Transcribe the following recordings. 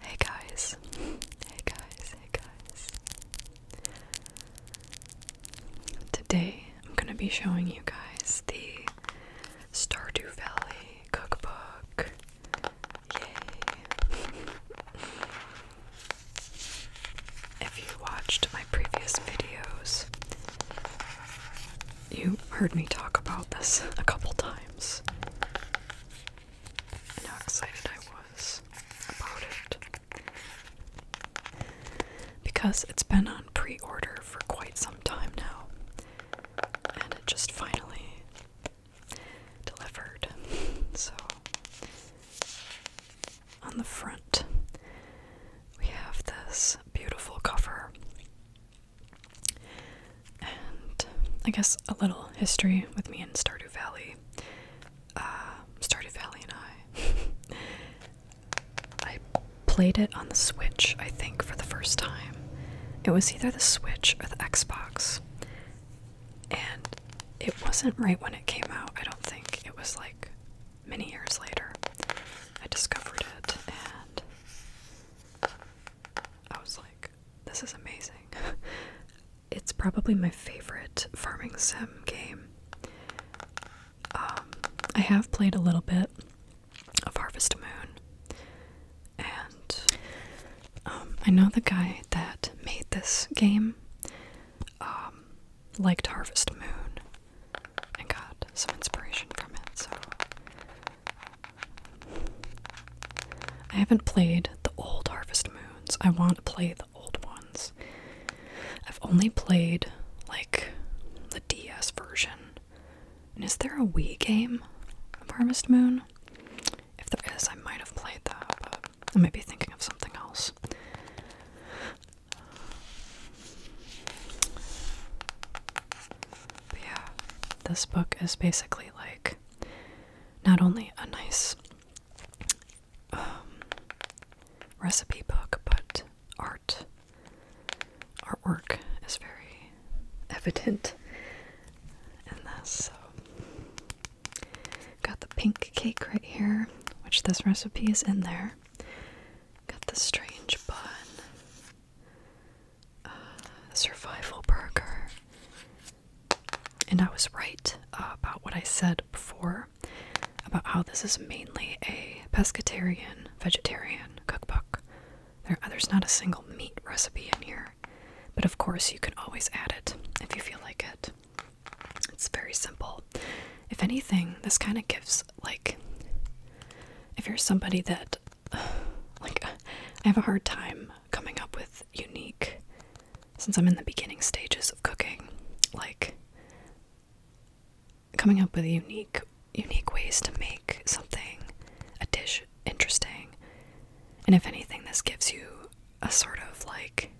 Hey guys, hey guys, hey guys. Today I'm going to be showing you guys the Stardew Valley cookbook. Yay! if you watched my previous videos, you heard me talk about this a couple times, how excited I was about it. Because it's been on pre order for quite some time now, and it just finally delivered. So, on the front, we have this beautiful cover and I guess a little history with me and Stardew Valley. Uh, Stardew Valley and I. I played it on the Switch, I think, for the first time. It was either the Switch or the Xbox. And it wasn't right when it came out, I don't think. It was like many years later. I discovered it and I was like, this is amazing. it's probably my favorite farming sim game. Um, I have played a little bit of Harvest Moon, and um, I know the guy that made this game um, liked Harvest Moon and got some inspiration from it, so I haven't played the old Harvest Moons. I want to play the old ones. I've only played like the DS version. And is there a Wii game of Harvest Moon? If there is, I might have played that, but I might be thinking of something else yeah, this book is basically like not only a nice um, recipe book, but art. Artwork is very evident in this. So, got the pink cake right here, which this recipe is in there. Got the strange bun. survival burger. And I was right uh, about what I said before about how this is mainly a pescatarian, vegetarian cookbook. there's not a single meat recipe in here, but of course, you can always add it if you feel like it. It's very simple. If anything, this kind of gives, like, if you're somebody that like I have a hard time coming up with unique since I'm in the beginning stages of cooking, like coming up with unique unique ways to make something a dish interesting. And if anything this gives you a sort of like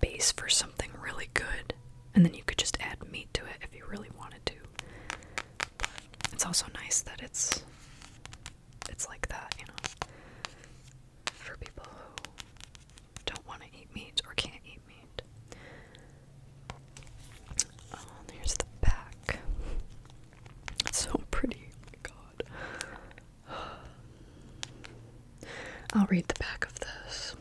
base for something really good and then you could just add meat to it if you really wanted to. It's also nice that it's it's like that, you know, for people who don't want to eat meat or can't eat meat. Oh, um, there's the back. so pretty. Oh god. I'll read the back of this.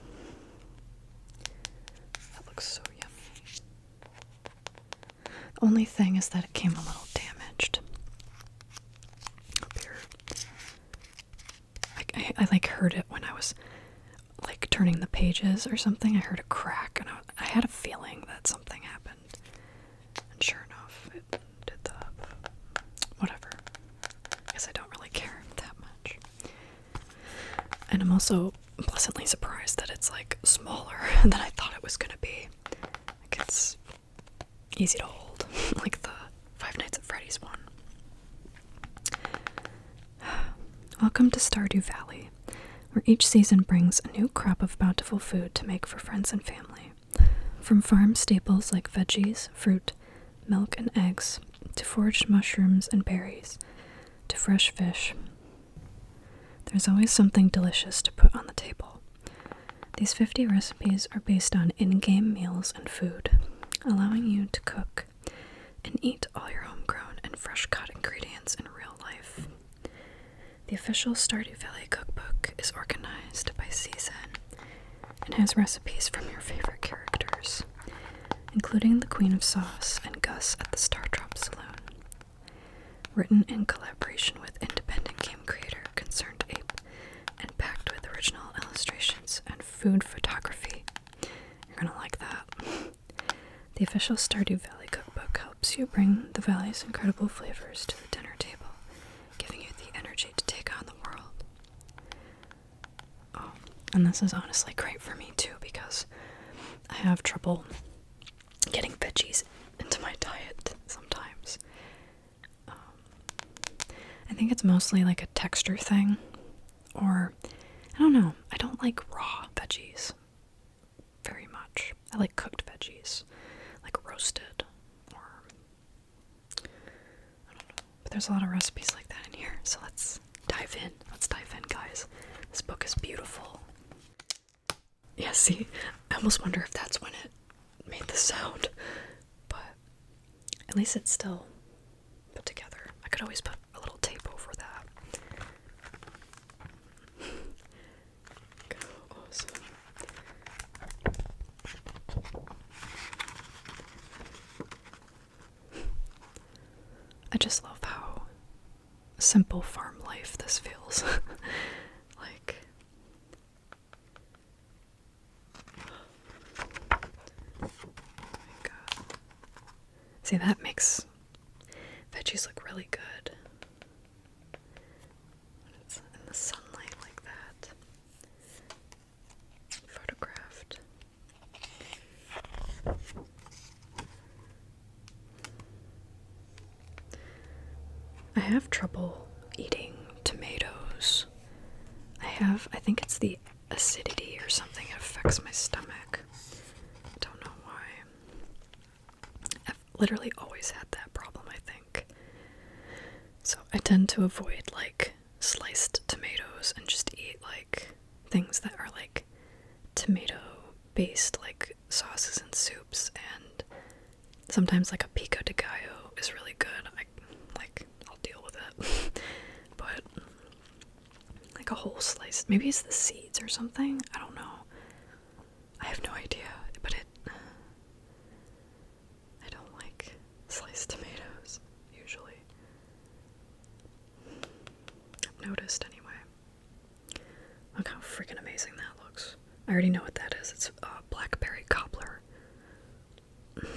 That looks so yummy. The only thing is that it came a little damaged. Up here. I, like heard it when I was like turning the pages or something. I heard a crack and I, had a feeling that something happened. And sure enough, it did the whatever. I guess I don't really care that much. And I'm also pleasantly surprised that it's like smaller than I thought it was gonna be. it's easy to hold, like the Five Nights at Freddy's one. Welcome to Stardew Valley, where each season brings a new crop of bountiful food to make for friends and family. From farm staples like veggies, fruit, milk, and eggs, to foraged mushrooms and berries, to fresh fish, there's always something delicious to put on the table. These 50 recipes are based on in game meals and food, allowing you to cook and eat all your homegrown and fresh cut ingredients in real life. The official Stardew Valley cookbook is organized by season and has recipes from your favorite characters, including the Queen of Sauce and Gus at the Star Drop Saloon, Written in collaboration with independent game creator Concerned Ape and packed with original illustrations and food photography. You're gonna like that. The official Stardew Valley cookbook helps you bring the valley's incredible flavors to the dinner table, giving you the energy to take on the world. Oh, and this is honestly great for me too because I have trouble getting veggies into my diet sometimes. Um, I think it's mostly like a texture thing, or I don't know. I don't like raw veggies very much. I like cooked veggies, like roasted, But there's a lot of recipes like that in here, so let's dive in. Let's dive in, guys. This book is beautiful. Yeah, see, I almost wonder if that's when it made the sound, but at least it's still put together. I could always put a little tape over that. awesome. I just love how simple farm life this feels like. See, that makes veggies look really good it's in the sunlight like that. Photographed. I have trouble eating tomatoes. I have, I think it's the acidity or something, it affects my stomach. don't know why. I've literally always had that problem, I think. So I tend to avoid like sliced tomatoes and just eat like things that are like tomato based, like sauces and soups, and sometimes like a pico de gallo is really good. I like I'll deal with it, but like a whole slice, maybe it's the seeds or something. I don't know. I have no idea, but it. I don't like sliced tomatoes usually. noticed anyway. Look how freaking amazing that looks. I already know what that is. It's uh, blackberry cobbler.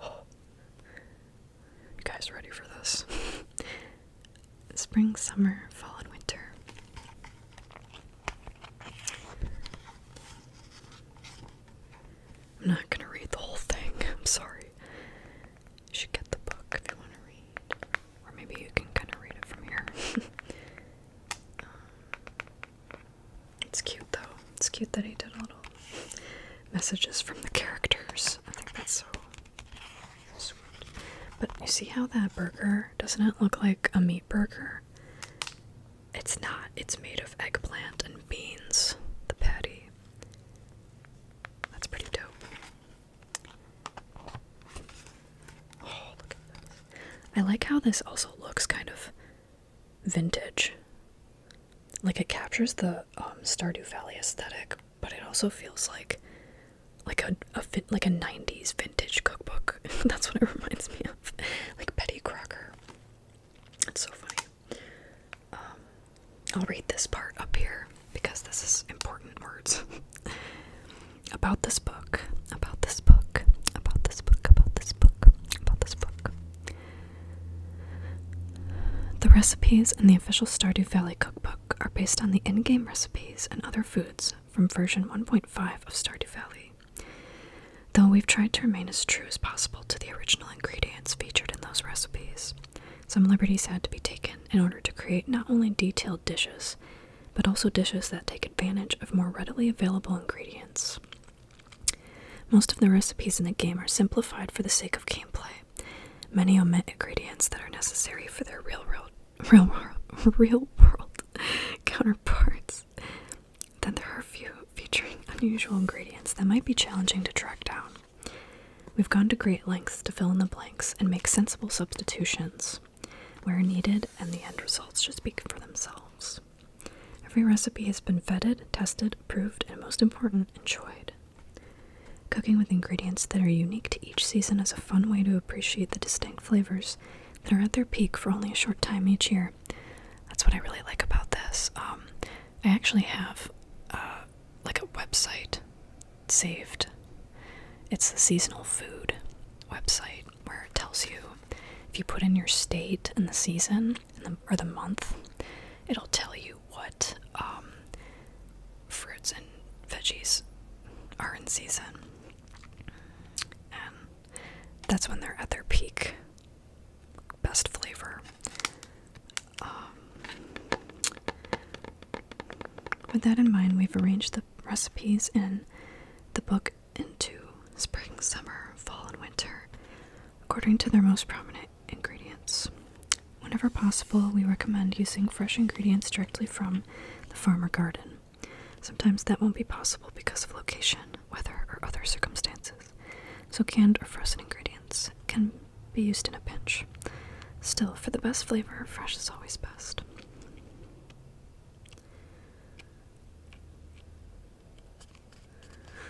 You guys ready for this? Spring, summer, fall, and winter. I'm not gonna read the whole thing. I'm sorry should get the book if you want to read. Or maybe you can kind of read it from here. Um, it's cute though. It's cute that he did little messages from the characters. I think that's so sweet. But you see how that burger doesn't it look like a meat burger? It's not. It's made of eggplant and beans. The patty. That's pretty dope. Oh, I like how this also looks kind of vintage. Like it captures the um, Stardew Valley aesthetic, but it also feels like like a, like a 90s vintage cookbook. That's what it reminds me of. Like Betty Crocker. It's so funny. Um, I'll read this part up here because this is important words. about this book, about this book, about this book, about this book, about this book. The recipes in the official Stardew Valley cookbook are based on the in game recipes and other foods from version 1.5 of Stardew Valley. Though we've tried to remain as true as possible to the original ingredients featured in those recipes, some liberties had to be taken in order to create not only detailed dishes, but also dishes that take advantage of more readily available ingredients. Most of the recipes in the game are simplified for the sake of gameplay. Many omit ingredients that are necessary for their real world, real world, real world counterparts. Then there are a few featuring unusual ingredients that might be challenging to track down. We've gone to great lengths to fill in the blanks and make sensible substitutions where needed, and the end results should speak for themselves. Every recipe has been vetted, tested, approved, and most important, enjoyed. Cooking with ingredients that are unique to each season is a fun way to appreciate the distinct flavors that are at their peak for only a short time each year. That's what I really like about this. Um, I actually have uh, like a website saved. It's the seasonal food website where it tells you if you put in your state and the season or the month, it'll tell you what um, fruits and veggies are in season. And that's when they're at their peak best flavor. Um, with that in mind, we've arranged the recipes in the book into spring, summer, fall, and winter according to their most prominent ingredients. Whenever possible, we recommend using fresh ingredients directly from the farmer garden. Sometimes that won't be possible because of location, weather, or other circumstances, so canned or frozen ingredients can be used in a pinch. Still, for the best flavor, fresh is always best.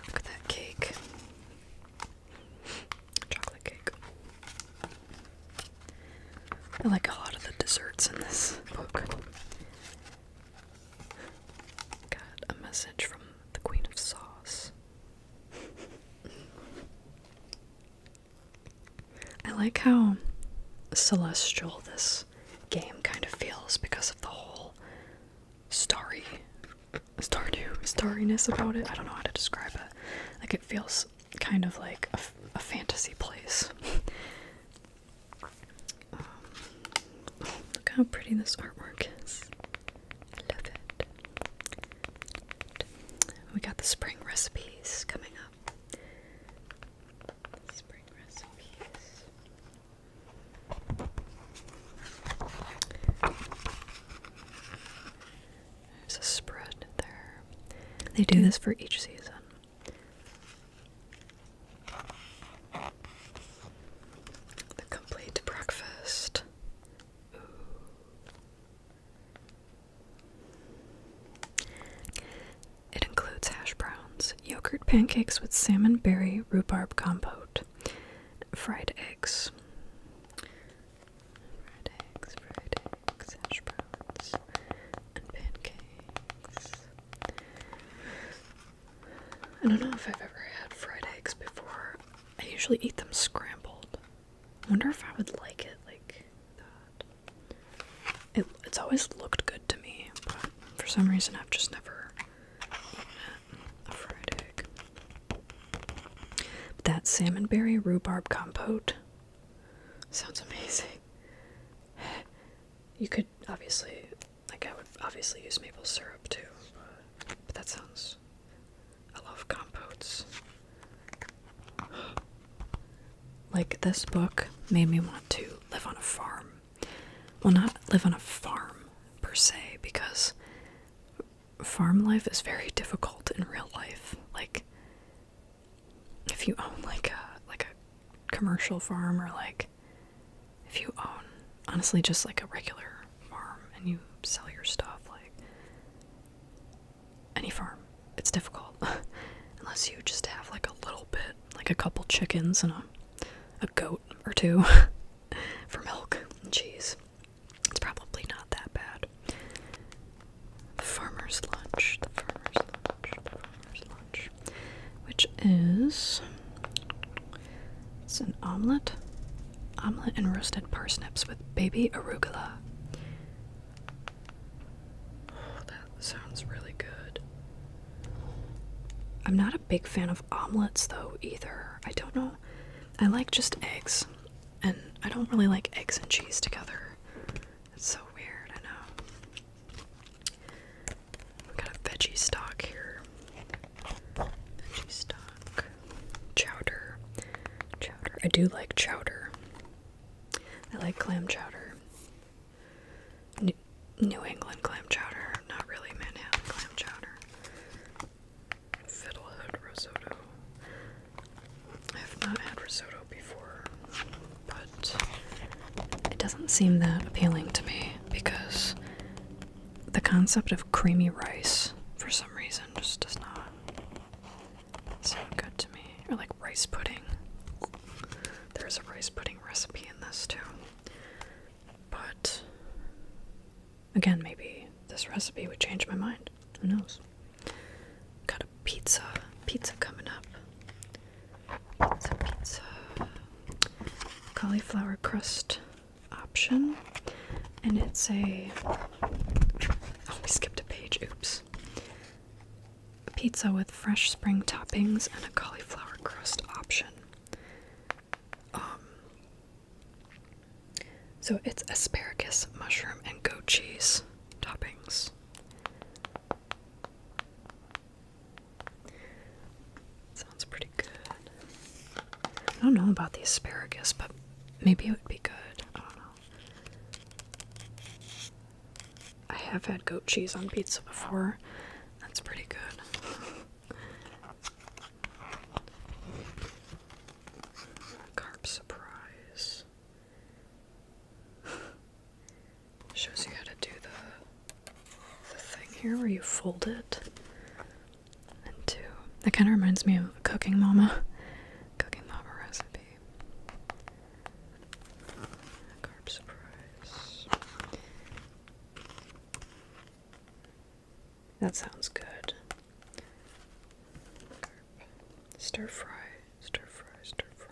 Look at that cake. Chocolate cake. I like a lot of the desserts in this book. Got a message from the Queen of Sauce. I like how celestial this game kind of feels because of the whole starry stardew starriness about it. I don't know how to describe it. Like it feels kind of like a, fantasy place. look how pretty this artwork is. I love it. We got the spring recipes coming up. There's a spread there. They do this for each season. The complete breakfast. It includes hash browns, yogurt pancakes with salmon berry rhubarb compote, fried eggs. Fried eggs, fried eggs, hash browns, and pancakes. I don't know if I've ever had fried eggs before. I usually eat them scrambled, I wonder if I would like it like that. It, it's always looked good to me, but for some reason I've just never fried egg. that salmonberry rhubarb compote sounds amazing. You could obviously, like, I would obviously use maple syrup too, but that sounds I love compotes. Like, this book made me want to live on a farm. Well, not live on a farm per se, because farm life is very difficult in real life. Like, if you own like a like a commercial farm or like if you own honestly just like a regular farm and you sell your stuff like any farm. It's difficult unless you just have like a little bit, like a couple chickens and a a goat or two for milk and cheese. It's probably not that bad. The farmer's lunch, the farmer's lunch, the farmer's lunch, which is it's an omelet, omelet and roasted parsnips with baby arugula. Oh, that sounds really good. I'm not a big fan of omelets though either. I don't know. I like just eggs, and I don't really like eggs and cheese together. It's so weird, I know. We got a veggie stock here. Veggie stock. Chowder. Chowder. I do like chowder. I like clam chowder. New, England clam chowder, not really Manhattan clam chowder. Fiddlehead risotto. I have not had risotto before, but it doesn't seem that appealing to me because the concept of creamy rice, for some reason, just does not sound good to me. Or like rice pudding. There's a rice pudding recipe in this too. But again, maybe this recipe would change my mind. Who knows? Got a pizza. Pizza coming up. Pizza, pizza. Cauliflower crust option. And it's a. Oh, we skipped a page. Oops. Pizza with fresh spring toppings and a cauliflower crust option. Um, so it's asparagus, mushroom, and goat cheese toppings. Sounds pretty good. I don't know about the asparagus, but maybe it would be good. I don't know. I have had goat cheese on pizza before. That's pretty good. Carb surprise. Shows you how to do the, the thing here where you fold it into. That kind of reminds me of Cooking Mama. Cooking Mama recipe carb surprise. That sounds good. stir fry, stir fry. Stir fry.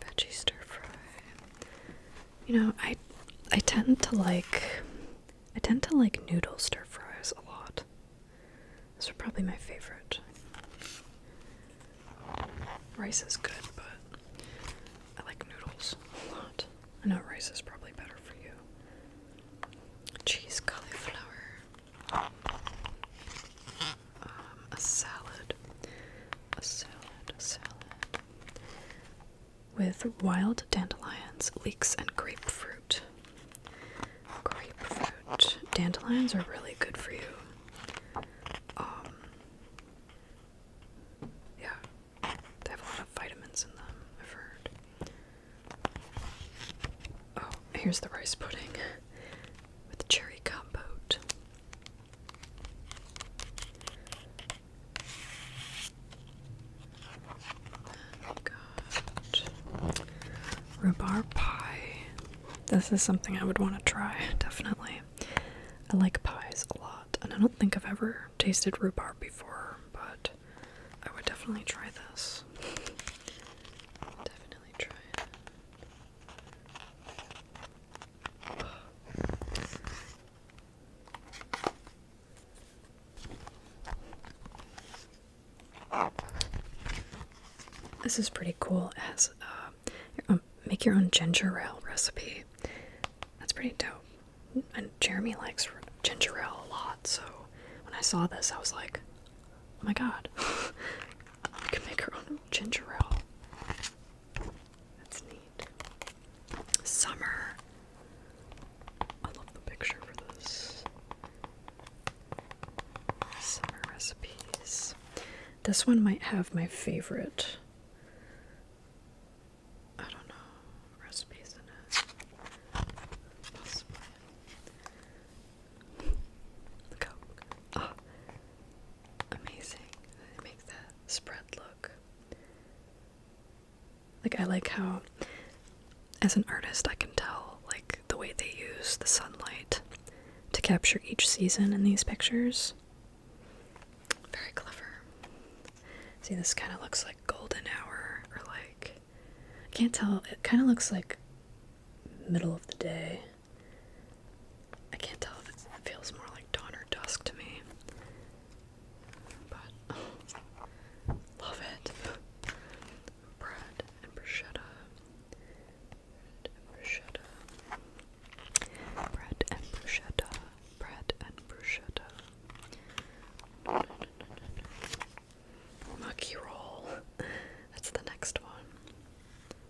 Veggie stir fry. You know, I I tend to like I tend to like noodle stir fries a lot. Those are probably my favorite. Rice is good, but I like noodles a lot. I know rice is probably better for you. Cheese cauliflower a salad, a salad, a salad with wild dandelions, leeks, and grapefruit. Grapefruit. Dandelions are really good for you. Um, yeah, they have a lot of vitamins in them, I've heard. Oh, here's the rice pudding with cherry compote i got rhubarb pie. This is something I would want to try, definitely. I like pies a lot, and I don't think I've ever tasted rhubarb before, but I would definitely try this. Definitely try it. This is pretty cool as uh, um, make your own ginger ale recipe. That's pretty dope. And Jeremy likes ginger ale a lot, so when I saw this, I was like, oh my god, You can make her own ginger ale. That's neat. Summer. I love the picture for this. Summer recipes. This one might have my favorite. I don't know. Recipes in it. Possibly. Look how. Oh, amazing. make that spread look. Like I like how as an artist I can tell like the way they use the sunlight to capture each season in these pictures. Very clever. See this kind of looks like golden hour or like I can't tell it kind of looks like middle of the day. I can't tell if it feels more like dawn or dusk to me. But love it. Bread and bruschetta. Bread and bruschetta. Bread and bruschetta. Bread and bruschetta. No, no, roll. That's the next one.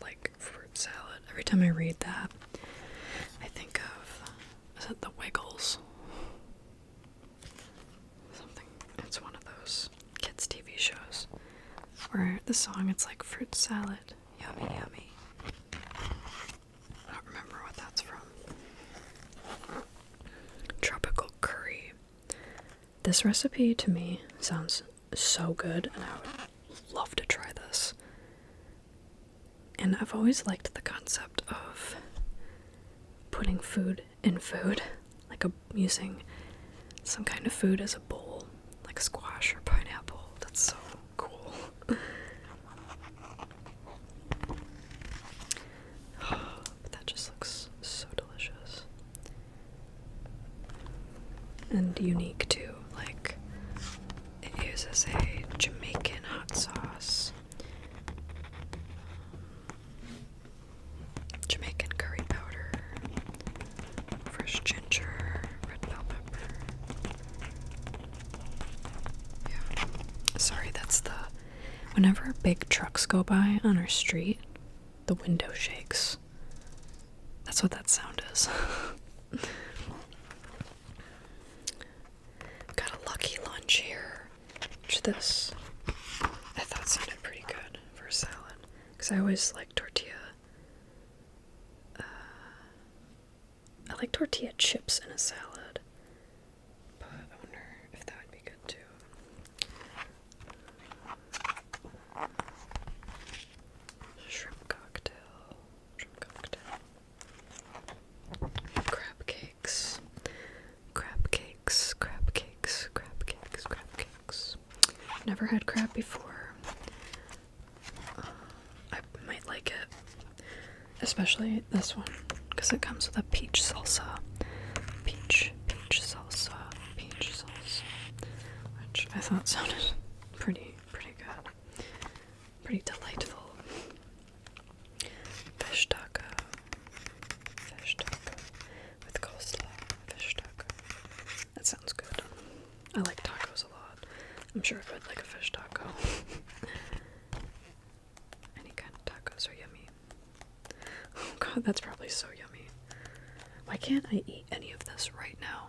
like fruit salad. Every time I read that, I think of is it the Wiggles? Something. It's one of those kids' TV shows where the song it's like fruit salad, yummy, yummy. I don't remember what that's from. Tropical curry. This recipe to me sounds so good, and I would love to try this. And I've always liked the concept of putting food in food, like using some kind of food as a bowl, like squash or pineapple. That's so cool. that just looks so delicious and unique too. Like it uses a Jamaican hot sauce, Jamaican curry powder, fresh ginger, red bell pepper. Yeah. Sorry, that's the. Whenever big trucks go by on our street, the window shakes. That's what that sound is. Got a lucky lunch here, Watch this I thought sounded pretty good for a salad. Because I always like tortilla. Uh, I like tortilla chips in a salad. But wonder if that would be good too. Shrimp cocktail. Crab cakes. Crab cakes, crab cakes, crab cakes, crab cakes. Never had crab before. Uh, I might like it. Especially this one, because it comes with a peach salsa. Peach, peach salsa, peach salsa. Which I thought sounded pretty, pretty good pretty delightful. Fish taco, fish taco with coleslaw, fish taco. That sounds good. I like tacos a lot. I'm sure I could like a fish taco. Any kind of tacos are yummy. Oh god, that's probably so yummy. Why can't I eat any of this right now?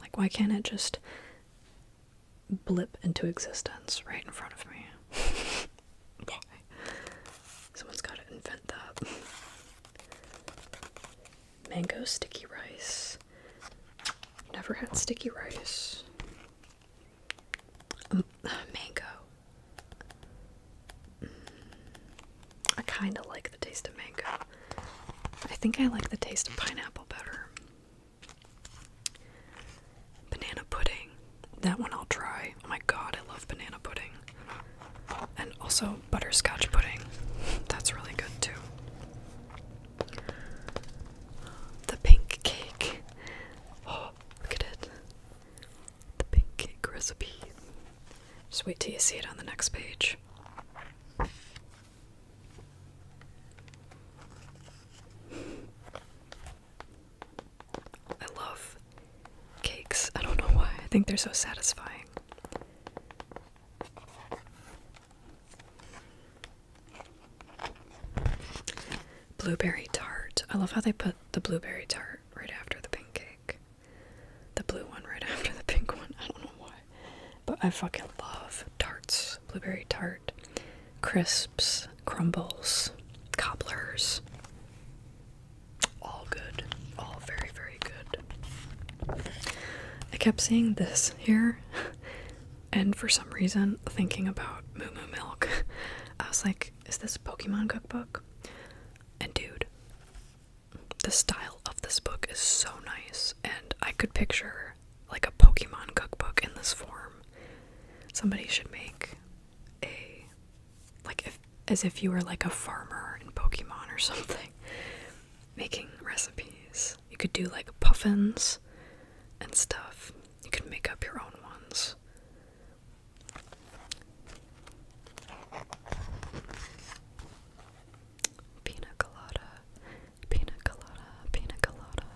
Like, why can't it just blip into existence right in front of me. Why? Someone's gotta invent that. Mango sticky rice. Never had sticky rice. Mm, mango. Mm. I kind of like the taste of mango. I think I like the taste of pineapple better. Banana pudding. That one I'll try. Oh my god, I love banana pudding. And also butterscotch pudding. That's really good too. The pink cake. Oh, look at it. The pink cake recipe. Just wait till you see it on the next page. I love cakes. I don't know why. I think they're so satisfying. Blueberry tart. I love how they put the blueberry tart right after the pink cake. The blue one right after the pink one. I don't know why. But I fucking love tarts, blueberry tart, crisps, crumbles, cobblers. All good. All very, very good. I kept seeing this here, and for some reason, thinking about Moo Moo Milk, I was like, is this Pokemon cookbook? And dude, the style of this book is so nice, and I could picture like a Pokemon cookbook in this form. Somebody should make a like if as if you were like a farmer in Pokemon or something making recipes. You could do like puffins and stuff. You could make up your own ones. Pina colada, pina colada, pina colada.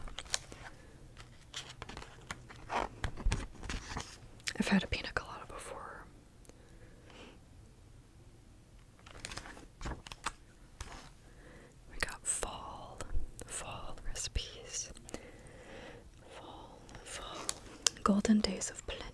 I've had a pina colada before. We got fall, fall recipes. Fall, fall. Golden days of plenty.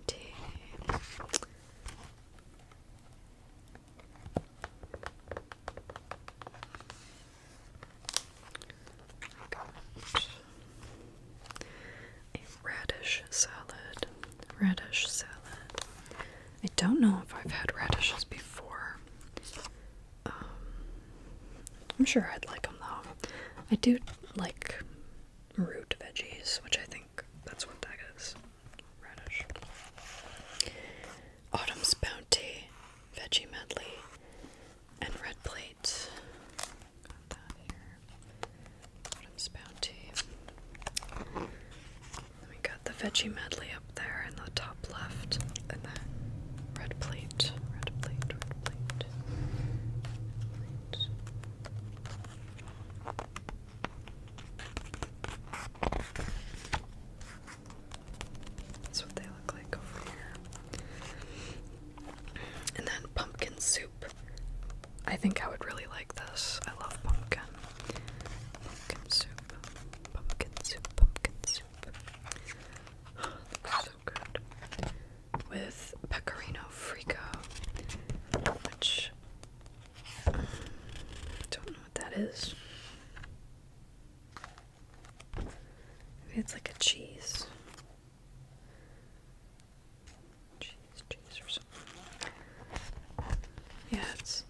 I radish salad. Radish salad. I don't know if I've had radishes before. Um, I'm sure I'd like them though. I do like root veggies, which I think that's what that is. Autumn's Bounty, Veggie Medley, and Red Plate. Got that here. Autumn's Bounty. Then we got the Veggie Medley up there in the top left, and then Red Plate. Red Plate, Red Plate. Red plate. That's what they look like over here. And then pumpkin soup. I think I would really like this. I love pumpkin. Pumpkin soup. Pumpkin soup. Pumpkin soup. so good. With pecorino frico, which I Don't know what that is. it's like a cheese. Cheese, cheese or something. Yeah, it's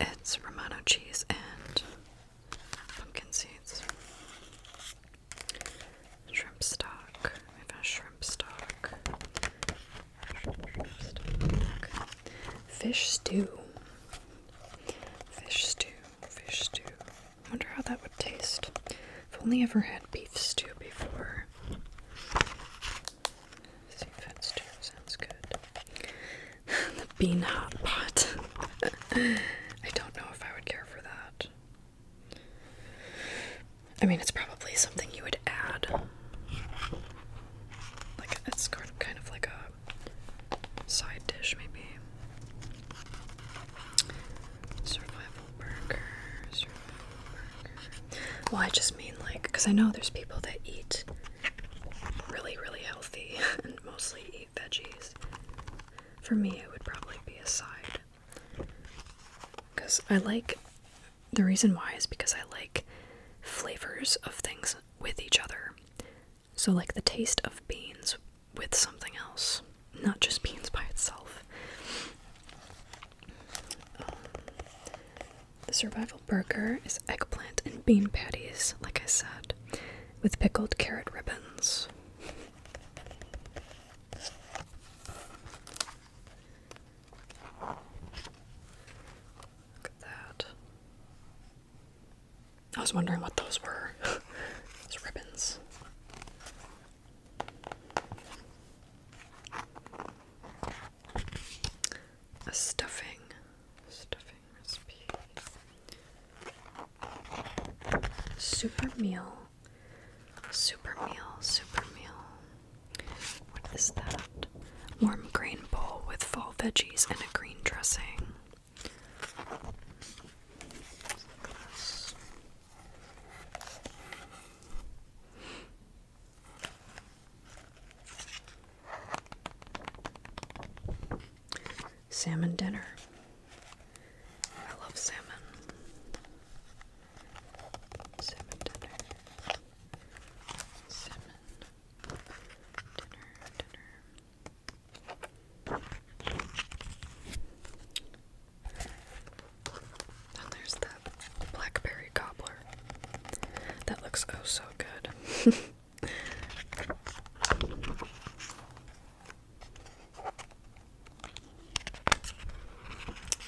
it's Romano cheese and pumpkin seeds. Shrimp stock. We've got shrimp stock. Fish stew. Fish stew. Fish stew. I wonder how that would taste. I've only ever had beef stew before. Seafood stew sounds good. the bean hot pot. I don't know if I would care for that. I mean, it's probably something you would add like it's kind of kind of like a side dish, maybe. survival burger. Well, I just mean like, because I know there's people that eat really, really healthy and mostly eat veggies. For me, it would probably be a side. Because I like the reason why is because I like flavors of things with each other. So, like the taste of beans with something else, not just beans by itself. the survival burger is eggplant and bean patties, like I said, with pickled carrot ribbons. Look at that. I was wondering what those were. those ribbons. A stuffing. Stuffing recipe. Super meal. Super meal. Super meal. What is that? Warm green bowl with fall veggies and a green dressing. Salmon dinner. I love salmon. Salmon dinner. Salmon. there's that blackberry cobbler. That looks oh so good.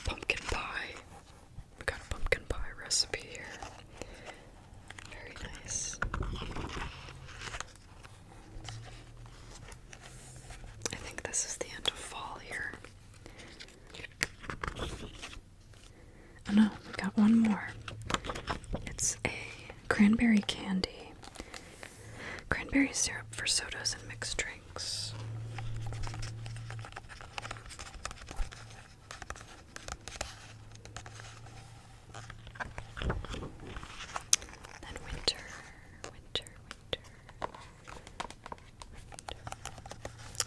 Pumpkin we got a pumpkin pie recipe here. Very nice. I think this is the end of fall here. Oh no, we got one more. It's a cranberry candy. Cranberry syrup for sodas and mixed drinks. Then winter, winter, winter.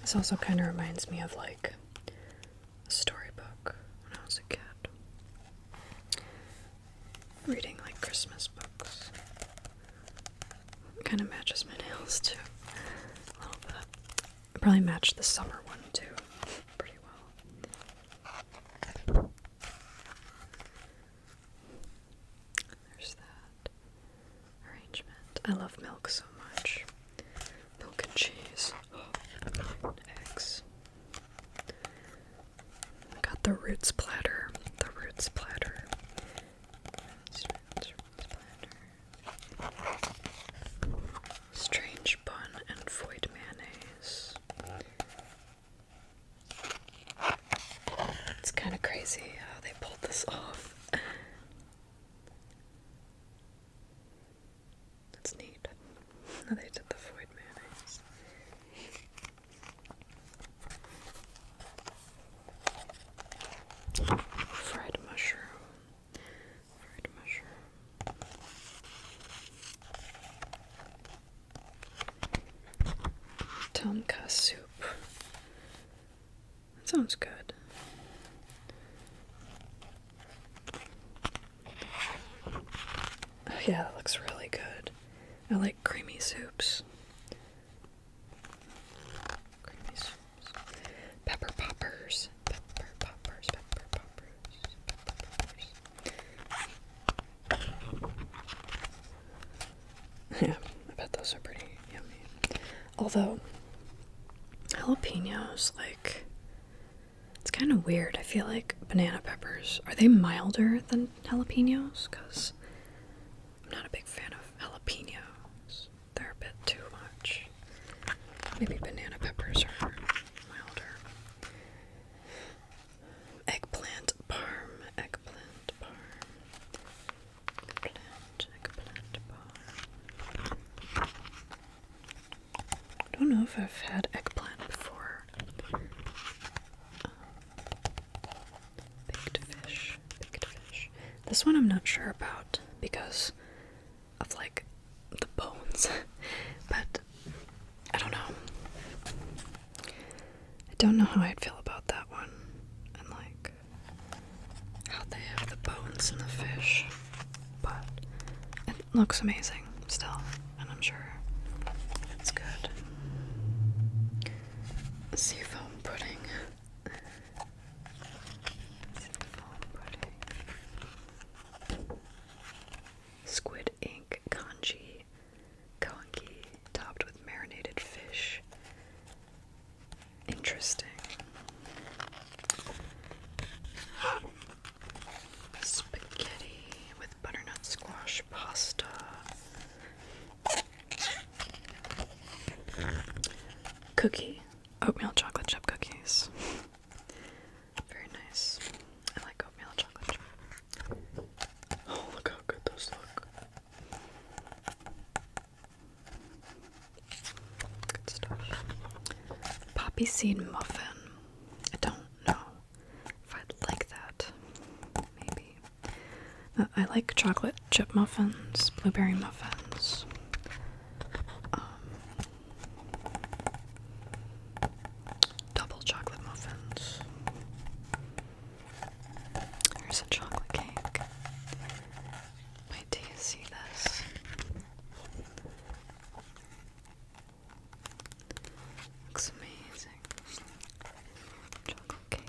This also kind of reminds me of like a storybook when I was a kid. Reading like Christmas books. Kind of matches my nails too. A little bit. Probably match the summer one too pretty well. There's that arrangement. I love milk so much. Milk and cheese. eggs. got the roots platter. The roots platter. Strange bun and void mayonnaise. It's kind of crazy how they pulled this off. That's neat. How they did the void mayonnaise. Fried mushroom fried soup. That sounds good. Oh, yeah, that looks really good. I like creamy soups. Pepper poppers. Pepper poppers. Pepper poppers. yeah, I bet those are pretty yummy. Although jalapenos, like it's kind of weird. I feel like banana peppers are they milder than jalapenos? Cause I'm not a big fan of jalapenos. They're a bit too much. Maybe banana peppers are milder. Eggplant parm, eggplant parm, eggplant, eggplant parm. I don't know if I've had eggplant before. Um, baked fish, baked fish. This one I'm not sure about because of like the bones, but I don't know. I don't know how I'd feel about that one, and like how they have the bones and the fish, but it looks amazing still, and I'm sure it's good. Seafoam pudding. Squid ink congee, congee topped with marinated fish. Interesting. Spaghetti with butternut squash pasta. Cookie oatmeal chocolate chip cookies. Very nice. I like oatmeal chocolate chip. Oh, look how good those look. Good stuff. Poppy seed muffin. I don't know if I'd like that. Maybe. Uh, I like chocolate chip muffins, blueberry muffins. Um, double chocolate muffins. There's a chocolate cake. do you see this? Looks amazing. Chocolate cake.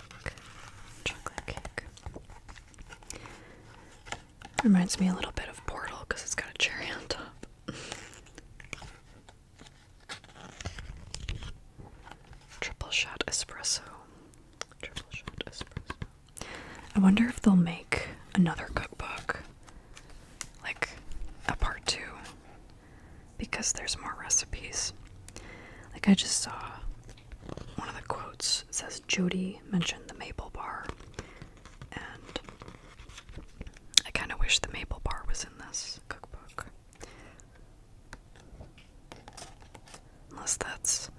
Chocolate cake. Reminds me a little bit of Portal because it's got a cherry on top. Triple shot espresso. Triple shot espresso. I wonder if they'll make another cookbook, like a part two, because there's more recipes. Like I just saw one of the quotes says Jody mentioned the maple bar, and I kind of wish the maple bar was in this cookbook. Unless that's.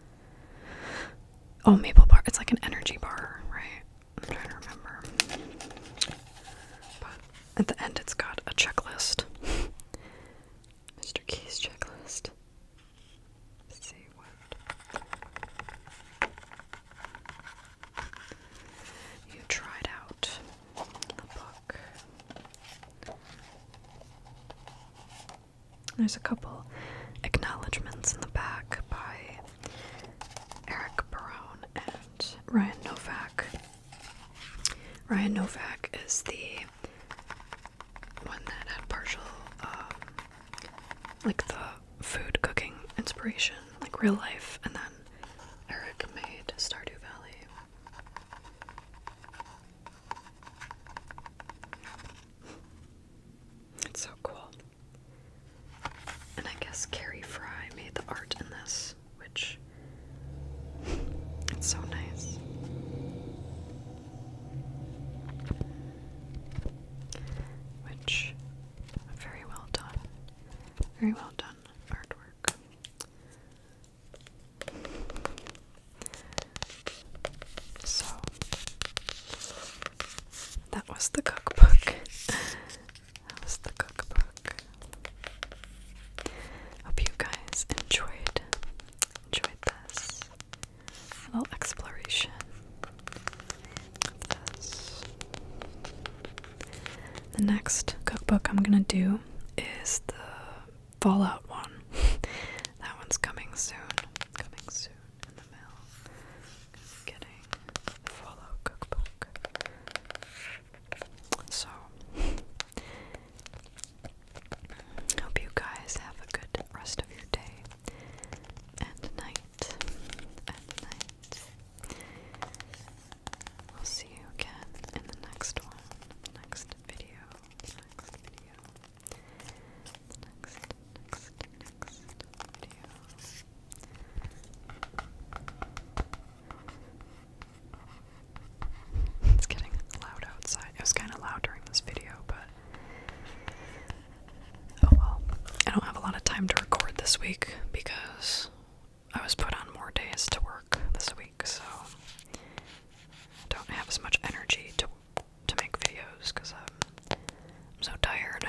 Oh, maple bar. It's like an energy bar, right? I'm trying to remember. But at the end, it's got a checklist. Mr. Key's checklist. Seaweed. You tried out the book. There's a couple acknowledgments in the back by Eric Barone and Ryan Novak. Ryan Novak is the one that had partial, um, like the food cooking inspiration, like real life, and then Eric made Stardew Valley. It's so cool. And I guess Carrie Fry made the art in this, which it's so nice. Which, very well done. Very well done artwork. So, that was the cookbook. that was the cookbook. Hope you guys enjoyed enjoyed this little exploration The next cookbook I'm gonna do is the Fallout one. that one's coming soon. Coming soon in the mail. getting Fallout cookbook. So Hope you guys have a good rest of your day and night and night. We'll see you again in the next one, next video, next video, next, next, next video. It's getting loud outside. It was kind of loud during this video, but Oh well, I don't have a lot of time to record this week because I was put on more days to work this week, so I don't have as much energy to to make videos because I'm so tired.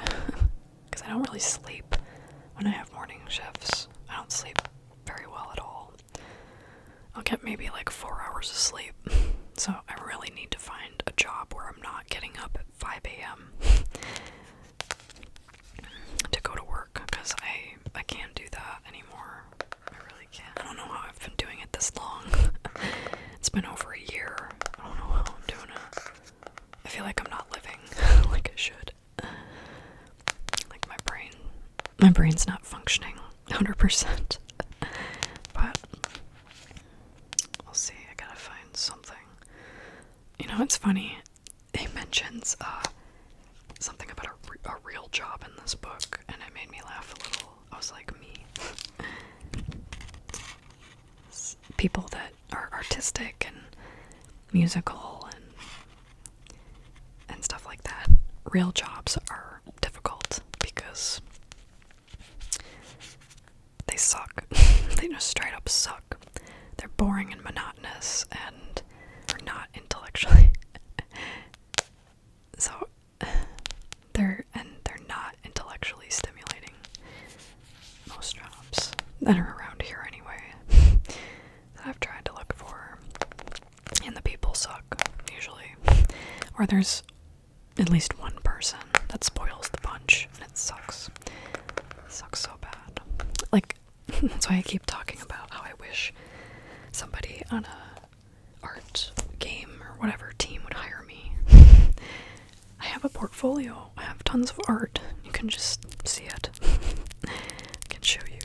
Because I don't really sleep when I have morning shifts. I don't sleep very well at all. I'll get maybe like four hours of sleep, so I really need to find find a job where I'm not getting up at 5 a.m. to go to work because I I can't do that anymore. I really can't. I don't know how I've been doing it this long. it's been over a year. I don't know how I'm doing it. I feel like I'm not living like I should. Like my brain my brain's not functioning 100%. but we'll see. I gotta find something. You know, it's funny. It mentions uh, something about a, a real job in this book, and it made me laugh a little. I was like, me. People that are artistic and musical and and stuff like that. Real jobs are difficult because they suck. they just straight up suck. They're boring and monotonous and are not intellectually. so they're and they're not intellectually stimulating. Most jobs that are around here anyway. I've tried to look for. And the people suck, usually. Or there's at least one person. That spoils the punch and it sucks. sucks so bad. Like, that's why I keep talking about how I wish somebody on a art game or whatever team would hire me. I have a portfolio. I have tons of art. You can just see it. I can show you.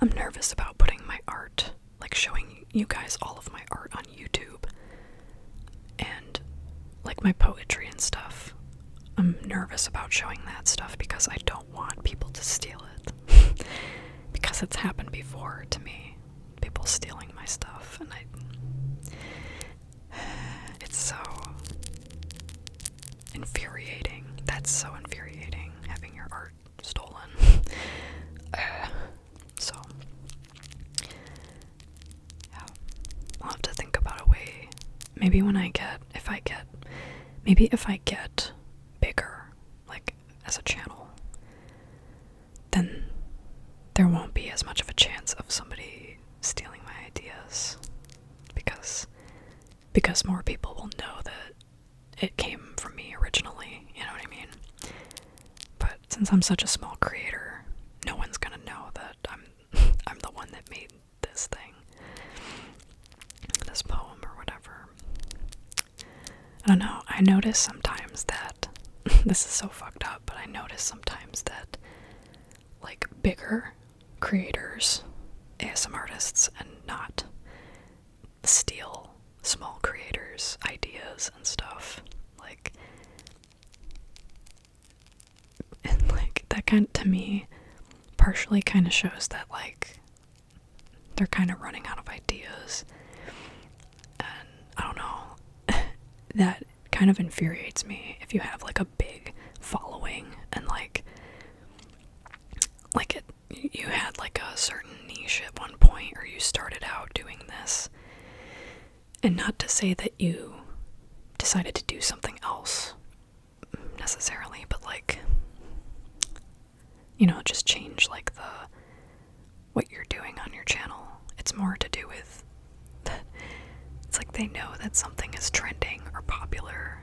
I'm nervous about putting my art like showing you guys all of my art on YouTube and like my poetry and stuff. I'm nervous about showing that stuff because I don't want people to steal it. because it's happened before to me. People stealing my stuff and I it's so infuriating. That's so infuriating having your art stolen. Uh, so, yeah, I'll have to think about a way. Maybe when I get, if I get, maybe if I get bigger, like as a channel, then there won't be as much of a chance of somebody stealing my ideas because because more people will know that it came from me originally, you know what I mean? But since I'm such a small creator, no one's gonna know that I'm I'm the one that made this thing. This poem or whatever. I don't know. I notice sometimes that this is so fucked up, but I notice sometimes that like bigger creators, ASM artists and not steal small creators' ideas and stuff. Like, and like that kind to me partially kind of shows that like they're kind of running out of ideas and i don't know that kind of infuriates me if you have like a big following and like like it you had like a certain niche at one point or you started out doing this. And not to say that you decided to do something else necessarily, but like you know, just change like the what you're doing on your channel. It's more to do with it's like they know that something is trending or popular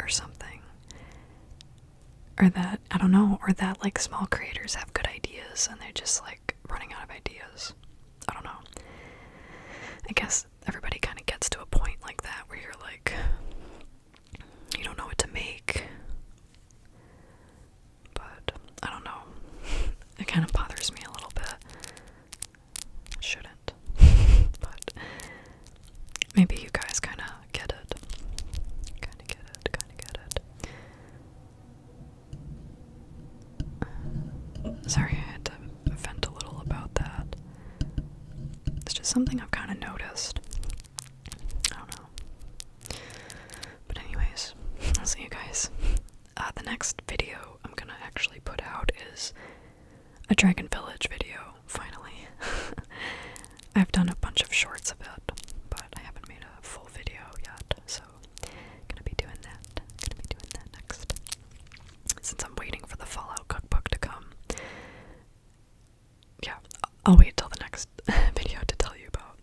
or something or that I don't know, or that like small creators have good ideas and they're just like running out of ideas. I don't know. I guess everybody kind of gets to a point like that where you're like, you don't know what to make. But I don't know. It kind of bothers me a little bit. Shouldn't. but maybe you guys kind of get it. Kind of get it, kind of get it. Uh, sorry, I had to vent a little about that. It's just something I've kind of noticed. I don't know. But, anyways, I'll see you guys. Uh, the next video I'm gonna actually put out is a Dragon Village video, finally. I've done a bunch of shorts of it, but I haven't made a full video yet, so gonna be doing that. Gonna be doing that next. Since I'm waiting for the Fallout cookbook to come. Yeah, I'll wait till the next video to tell you about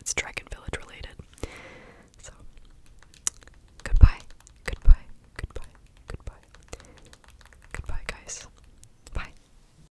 it's Dragon Village related. So goodbye. Goodbye. Goodbye. Goodbye. Goodbye guys. Bye.